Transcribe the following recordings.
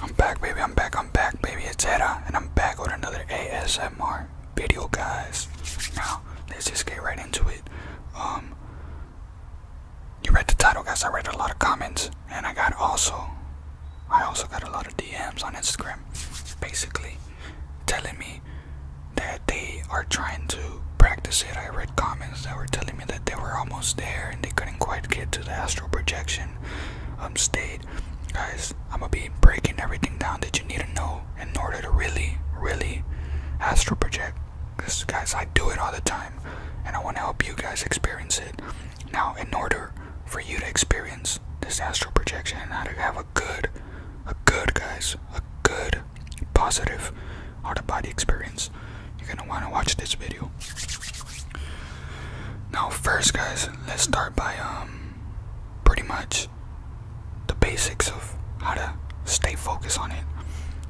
I'm back, baby. I'm back. I'm back, baby. It's Edda, and I'm back with another ASMR video, guys. Now, let's just get right into it. Um, you read the title, guys. I read a lot of comments, and I got also, I also got a lot of DMs on Instagram, basically telling me that they are trying to practice it. I read comments that were telling that they were almost there and they couldn't quite get to the astral projection um, state. Guys, I'm gonna be breaking everything down that you need to know in order to really, really astral project. Because, guys, I do it all the time and I want to help you guys experience it. Now, in order for you to experience this astral projection and how to have a good, a good, guys, a good, positive out of body experience, you're gonna want to watch this video. Now, first, guys, let's start by um, pretty much the basics of how to stay focused on it.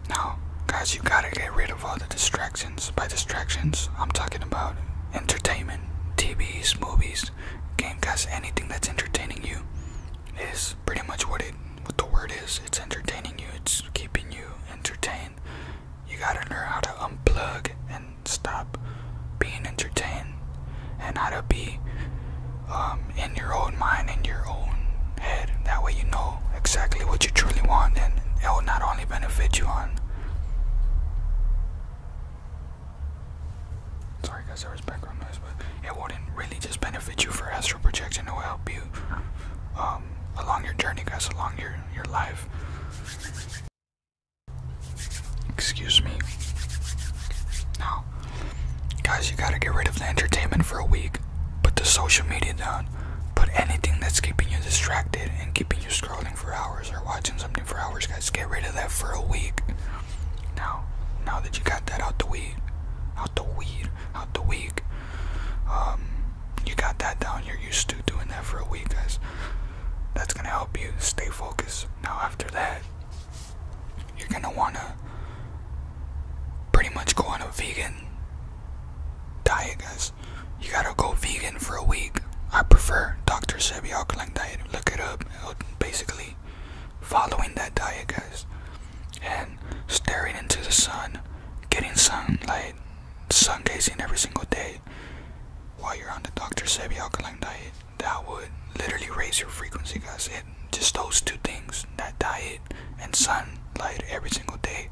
Now, guys, you gotta get rid of all the distractions. By distractions, I'm talking about entertainment, TVs, movies, game gamecasts, anything that's entertaining you is pretty much what it what the word is. It's entertaining you. It's keeping you entertained you gotta learn how to unplug and stop being entertained, and how to be um, in your own mind, in your own head. That way, you know exactly what you truly want, and it will not only benefit you on. Sorry, guys, there was background noise, but it wouldn't really just benefit you for astral projection. It will help you um, um, along your journey, guys, along your your life. Excuse me. Now, guys, you gotta get rid of the entertainment for a week. Put the social media down. Put anything that's keeping you distracted and keeping you scrolling for hours or watching something for hours, guys. Get rid of that for a week. Now, now that you got that out the weed, out the weed, out the week, um, you got that down. You're used to doing that for a week, guys. That's gonna help you stay focused. Now, after that, you're gonna wanna pretty much go on a vegan diet, guys. You gotta go vegan for a week. I prefer Dr. Sebi Alkaline diet. Look it up. Basically, following that diet, guys, and staring into the sun getting sunlight, sun gazing every single day while you're on the Dr. Sebi alkaline diet, that would literally raise your frequency, guys. It just those two things, that diet and sunlight every single day,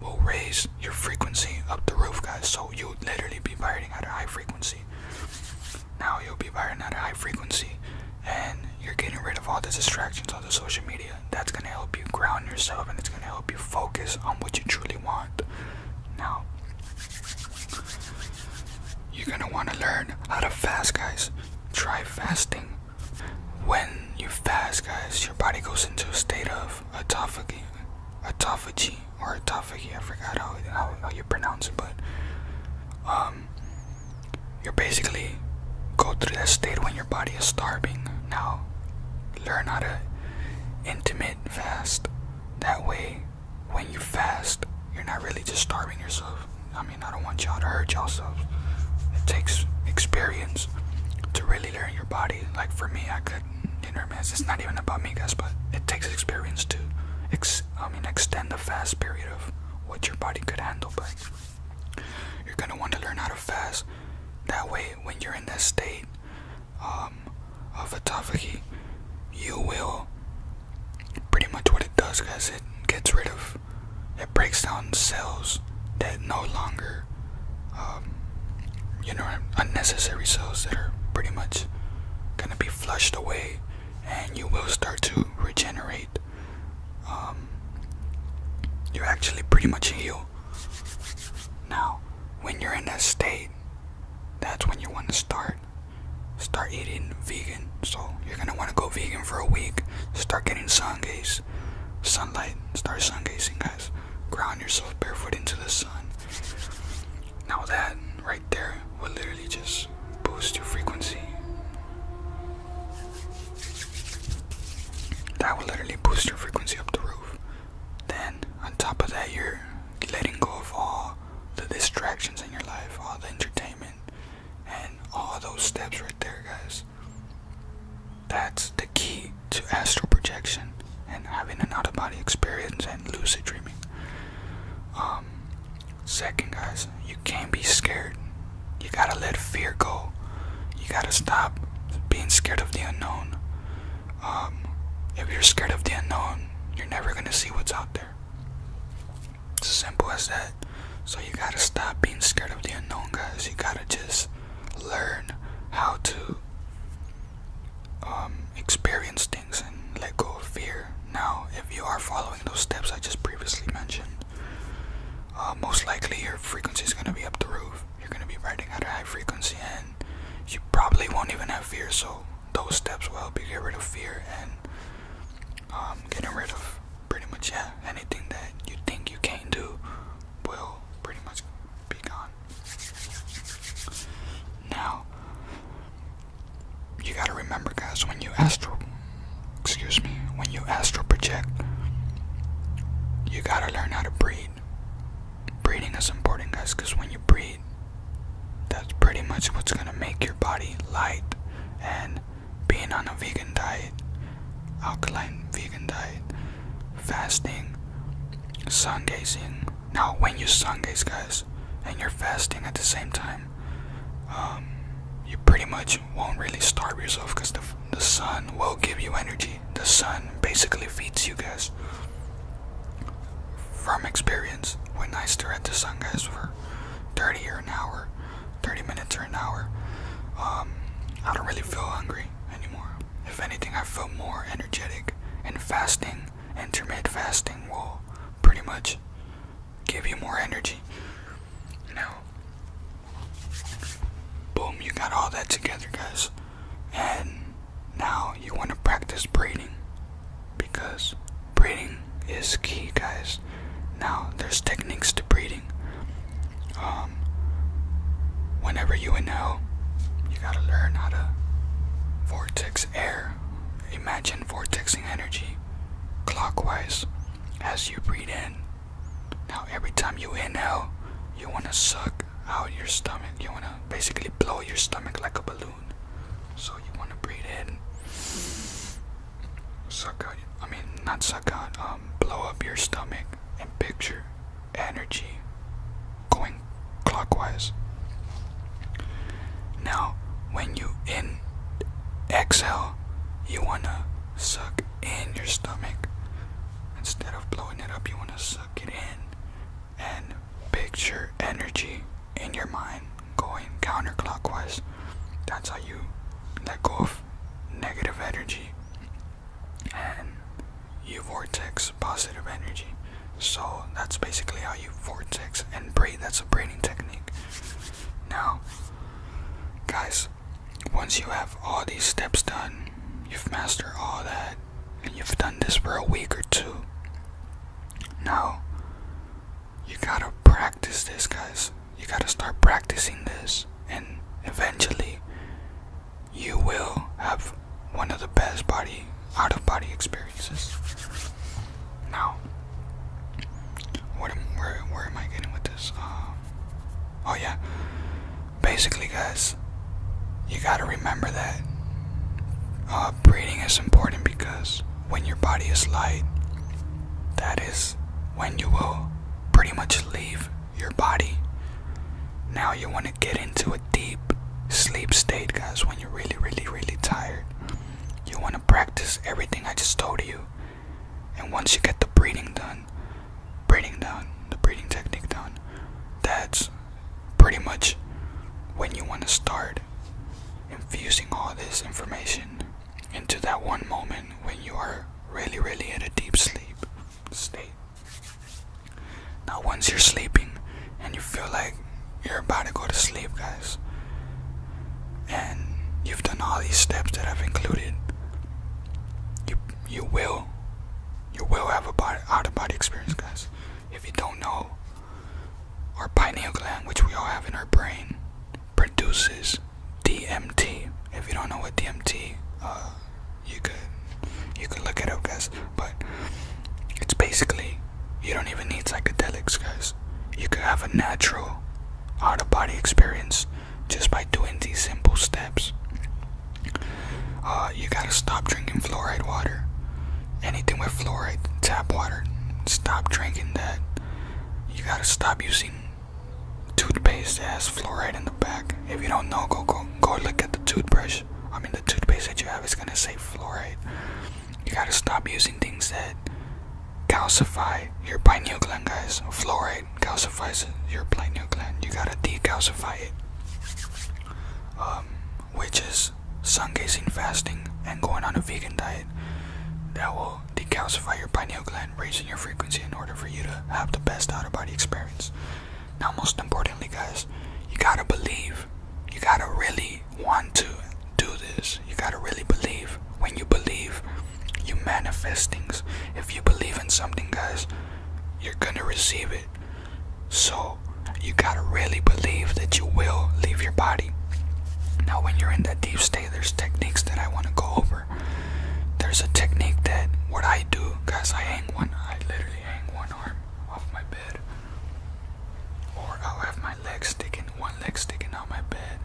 will raise your frequency up the roof, guys. So you'll literally be vibrating at a high frequency. Now you'll be vibrating at a high frequency, and you're getting rid of all the distractions the social media. That's gonna help you ground yourself and it's gonna help you focus on what you truly want. Now, you're gonna wanna learn how to fast, guys. Try fasting. When you fast, guys, your body goes into a state of autophagy, autophagy, or autophagy. I forgot how, how, how you pronounce it, but um, you're basically go through that state when your body is starving. Now, learn how to intimate fast. That way, when you fast, you're not really just starving yourself. I mean, I don't want y'all to hurt yourselves. It takes experience to really learn your body. Like for me, I could, you know, I mean, it's not even about me, guys, but it takes experience to, ex I mean, extend the fast period of what your body could handle. But you're gonna want to learn how to fast that way, when you're in this state um, of atrophy, you will pretty much what it does because it gets rid of, it breaks down cells that no longer, um, you know, unnecessary cells that are pretty much gonna be flushed away, and you will start to regenerate. Um, you're actually pretty much healed. Now, when you're in that state, that's when you want to start start eating vegan. So you're gonna want to go vegan for a week. Start getting sun gaze, sunlight. Start sun gazing, guys. Ground yourself barefoot into the sun. Now that right there will literally just boost your frequency. That will literally boost your frequency up the roof. Then, on top of that, you're letting go of all the distractions in your life, all the entertainment, and all those steps right there, guys. That's the key to astral projection and having an out of body experience and lucid dreaming. Um, second, guys, you can't be scared you gotta let fear go. You gotta stop being scared of the unknown. Um, if you're scared of the unknown, you're never gonna see what's out there. It's as simple as that. So you gotta stop being scared of the unknown, guys. You gotta just learn how to um, experience things and let go of fear. Now, if you are following those steps I just previously mentioned, uh, most likely your frequency is going to be up the roof. You're going to be riding at a high frequency, and you probably won't even have fear. So those steps will help you get rid of fear and um, getting rid of pretty much yeah anything that you think you can't do will pretty much be gone. Now you gotta remember, guys, when you astral excuse me, when you astral project, you gotta learn how to breathe. Breathing is important, guys, because when you breathe, that's pretty much what's gonna make your body light. And being on a vegan diet, alkaline vegan diet, fasting, sun gazing. Now, when you sun gaze, guys, and you're fasting at the same time, um, you're pretty much won't really starve yourself because the, the sun will give you energy. The sun basically feeds you guys. From experience, when I stare at the sun, guys, for 30 or an hour, 30 minutes or an hour, um, I don't really feel hungry anymore. If anything, I feel more energetic. And fasting, intermittent fasting, will pretty much give you more energy. Now, boom, you got all that together, guys. And now you want to practice breathing, because breathing is key, guys. Now, there's techniques to breathing. Um, whenever you inhale, you gotta learn how to vortex air. Imagine vortexing energy clockwise as you breathe in now, every time you inhale, you want to suck out your stomach. You want to basically blow your stomach like a balloon. So, you want to breathe in, suck out, I mean, not suck out, um, blow up your stomach and picture energy going clockwise. Now, when you in exhale, you want to suck in your stomach. Instead of blowing it up, you want to suck it in and picture energy in your mind going counterclockwise. That's how you let go of negative energy and you vortex positive energy. So that's basically how you vortex and breathe. That's a breathing technique. Now, Guys, once you have all these steps done, you've mastered all that, and you've done this for a week or two. Now, you gotta practice this, guys. You gotta start practicing this, and eventually, you will have one of the best body out of body experiences. Now, what where, where am I getting with this? Uh, oh, yeah. Basically, guys, you gotta remember that uh, breathing is important because when your body is light, that is when you will pretty much leave your body. Now, you wanna get into a deep sleep state, guys, when you're really, really, really tired. You wanna practice everything I just told you. And once you get the breeding done, breeding down, the breeding technique done, that's pretty much when you want to start infusing all this information into that one moment when you are really, really in a deep sleep state. Now, once you're sleeping and you feel like you're about to go to sleep, guys, and you've done all these steps that I've included, you you will you will have a body, out of body experience, guys. If you don't know, our pineal gland, which we all have in our brain, produces DMT. If you don't know what DMT, uh, you could you could look it up, guys. But it's basically you don't even need psychedelics, guys. You could have a natural out of body experience just by doing these simple steps. Uh, you gotta stop drinking fluoride water. Anything with fluoride, tap water, stop drinking that. You gotta stop using toothpaste that has fluoride in the back. If you don't know, go go go look at the toothbrush. I mean, the toothpaste that you have is gonna say fluoride you gotta stop using things that calcify your pineal gland, guys. Fluoride calcifies your pineal gland. You gotta decalcify it. Um, which is sun gazing fasting and going on a vegan diet that will decalcify your pineal gland, raising your frequency in order for you to have the best out of body experience. Now, most importantly, guys, you gotta believe. You gotta really want to do this. You gotta really believe. When you believe, you manifest things. If you believe in something, guys, you're gonna receive it. So, you gotta really believe that you will leave your body. Now, when you're in that deep state, there's techniques that I wanna go over. There's a technique that what I do, guys, I hang one, I literally hang one arm off my bed, or I'll have my my legs sticking, one leg sticking out my bed,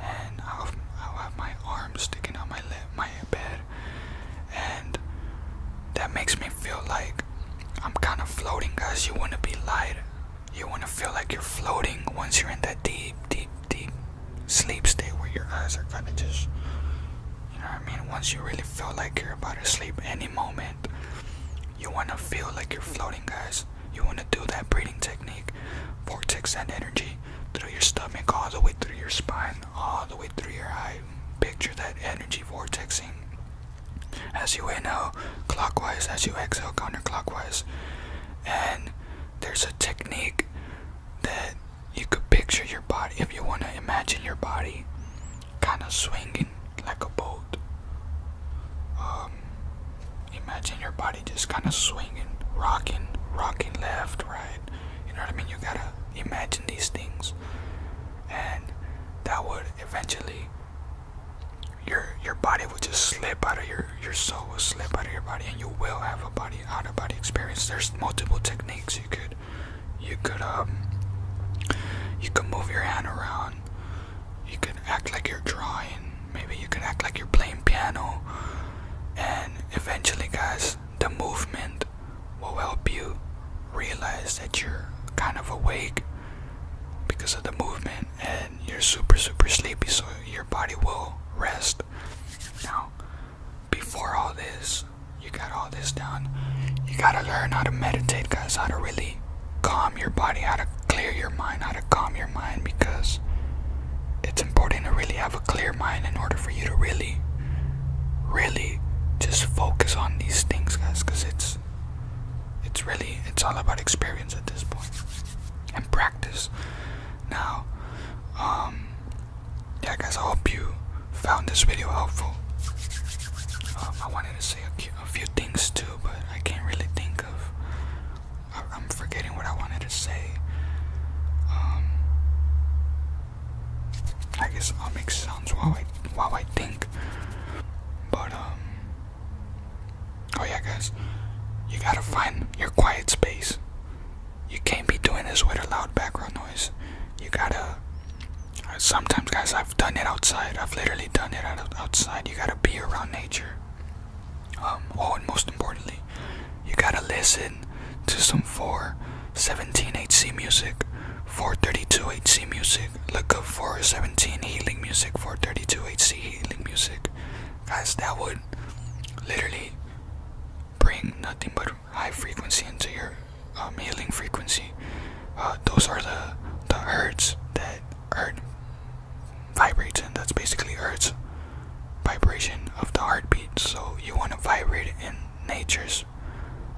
and I'll have, my arms sticking out my le- my bed, and that makes me feel like I'm kind of floating, guys. You want to be light, you want to feel like you're floating once you're in that deep, deep, deep sleep state where your eyes are kind of just, you know what I mean. Once you really feel like you're about to sleep, any moment, you want to feel like you're floating, guys. You want to do that breathing technique. Vortex and energy through your stomach, all the way through your spine, all the way through your eye. Picture that energy vortexing. As you inhale, clockwise, as you exhale, counterclockwise. And there's a technique that you could picture your body if you want to imagine your body kind of swinging like a boat. Um, imagine your body just kind of swinging, rocking, rocking left, right. You know what I mean? You gotta imagine these things, and that would eventually your your body would just slip out of your your soul will slip out of your body, and you will have a body out of body experience. There's multiple techniques you could you could um you could move your hand around. You could act like you're drawing maybe you can act like you're playing piano and eventually guys the movement will help you realize that you're kind of awake because of the movement and you're super super sleepy so your body will rest now before all this you got all this done. you gotta learn how to meditate guys how to really calm your body, how to clear your mind, how to calm your mind because it's important to really have a clear mind in order for you to really, really just focus on these things, guys, because it's it's really it's all about experience at this point and practice. Now, um, yeah, guys, I hope you found this video helpful. Um, I wanted to say a cute, a few things too, but I can't really think of. I, am forgetting what I wanted to say. Um, I guess I'll make sounds while I while I think. But um, oh yeah, guys, you gotta find your quiet space. You can't be doing this with a loud background noise. You gotta. Sometimes, guys, I I've done it outside. I've literally done it outside. You gotta be around nature. Um, oh, and most importantly, you gotta listen to some 417 HC music, 432 HC music. Look up 417 healing music, 432 HC healing music. Guys, that would literally bring nothing but high frequency into your um, healing frequency. Uh, those are the the herds that hurt vibrates, and that's basically Earth's vibration of the heartbeat. So you want to vibrate in nature's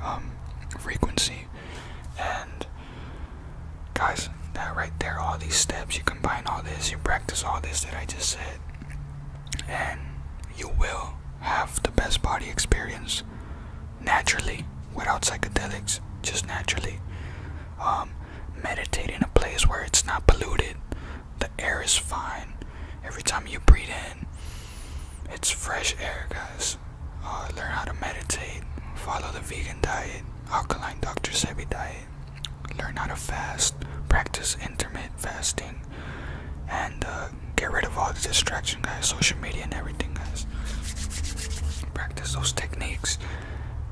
um, frequency. And guys, that right there, all these steps, you combine all this, you practice all this that I just said, and you will have the best body experience naturally without psychedelics, just naturally. Um, meditate in a place where it's not polluted, the air is fine. Every time you breathe in, it's fresh air, guys. Uh, learn how to meditate, follow the vegan diet, alkaline Dr. Sebi diet, learn how to fast, practice intermittent fasting, and uh, get rid of all the distractions, guys, social media and everything, guys. Practice those techniques,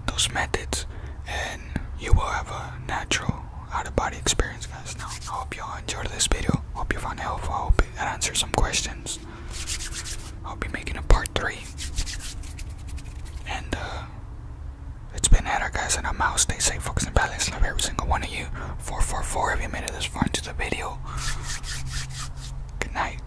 those methods and you will have a natural out-of-body experience guys now i hope y'all enjoyed this video hope you found it helpful i hope it answered some questions i'll be making a part three and uh it's been Ada guys and I'm out. Stay safe, focus and balance. Love every single one of you. 444 if you made it this far into the video. Good night.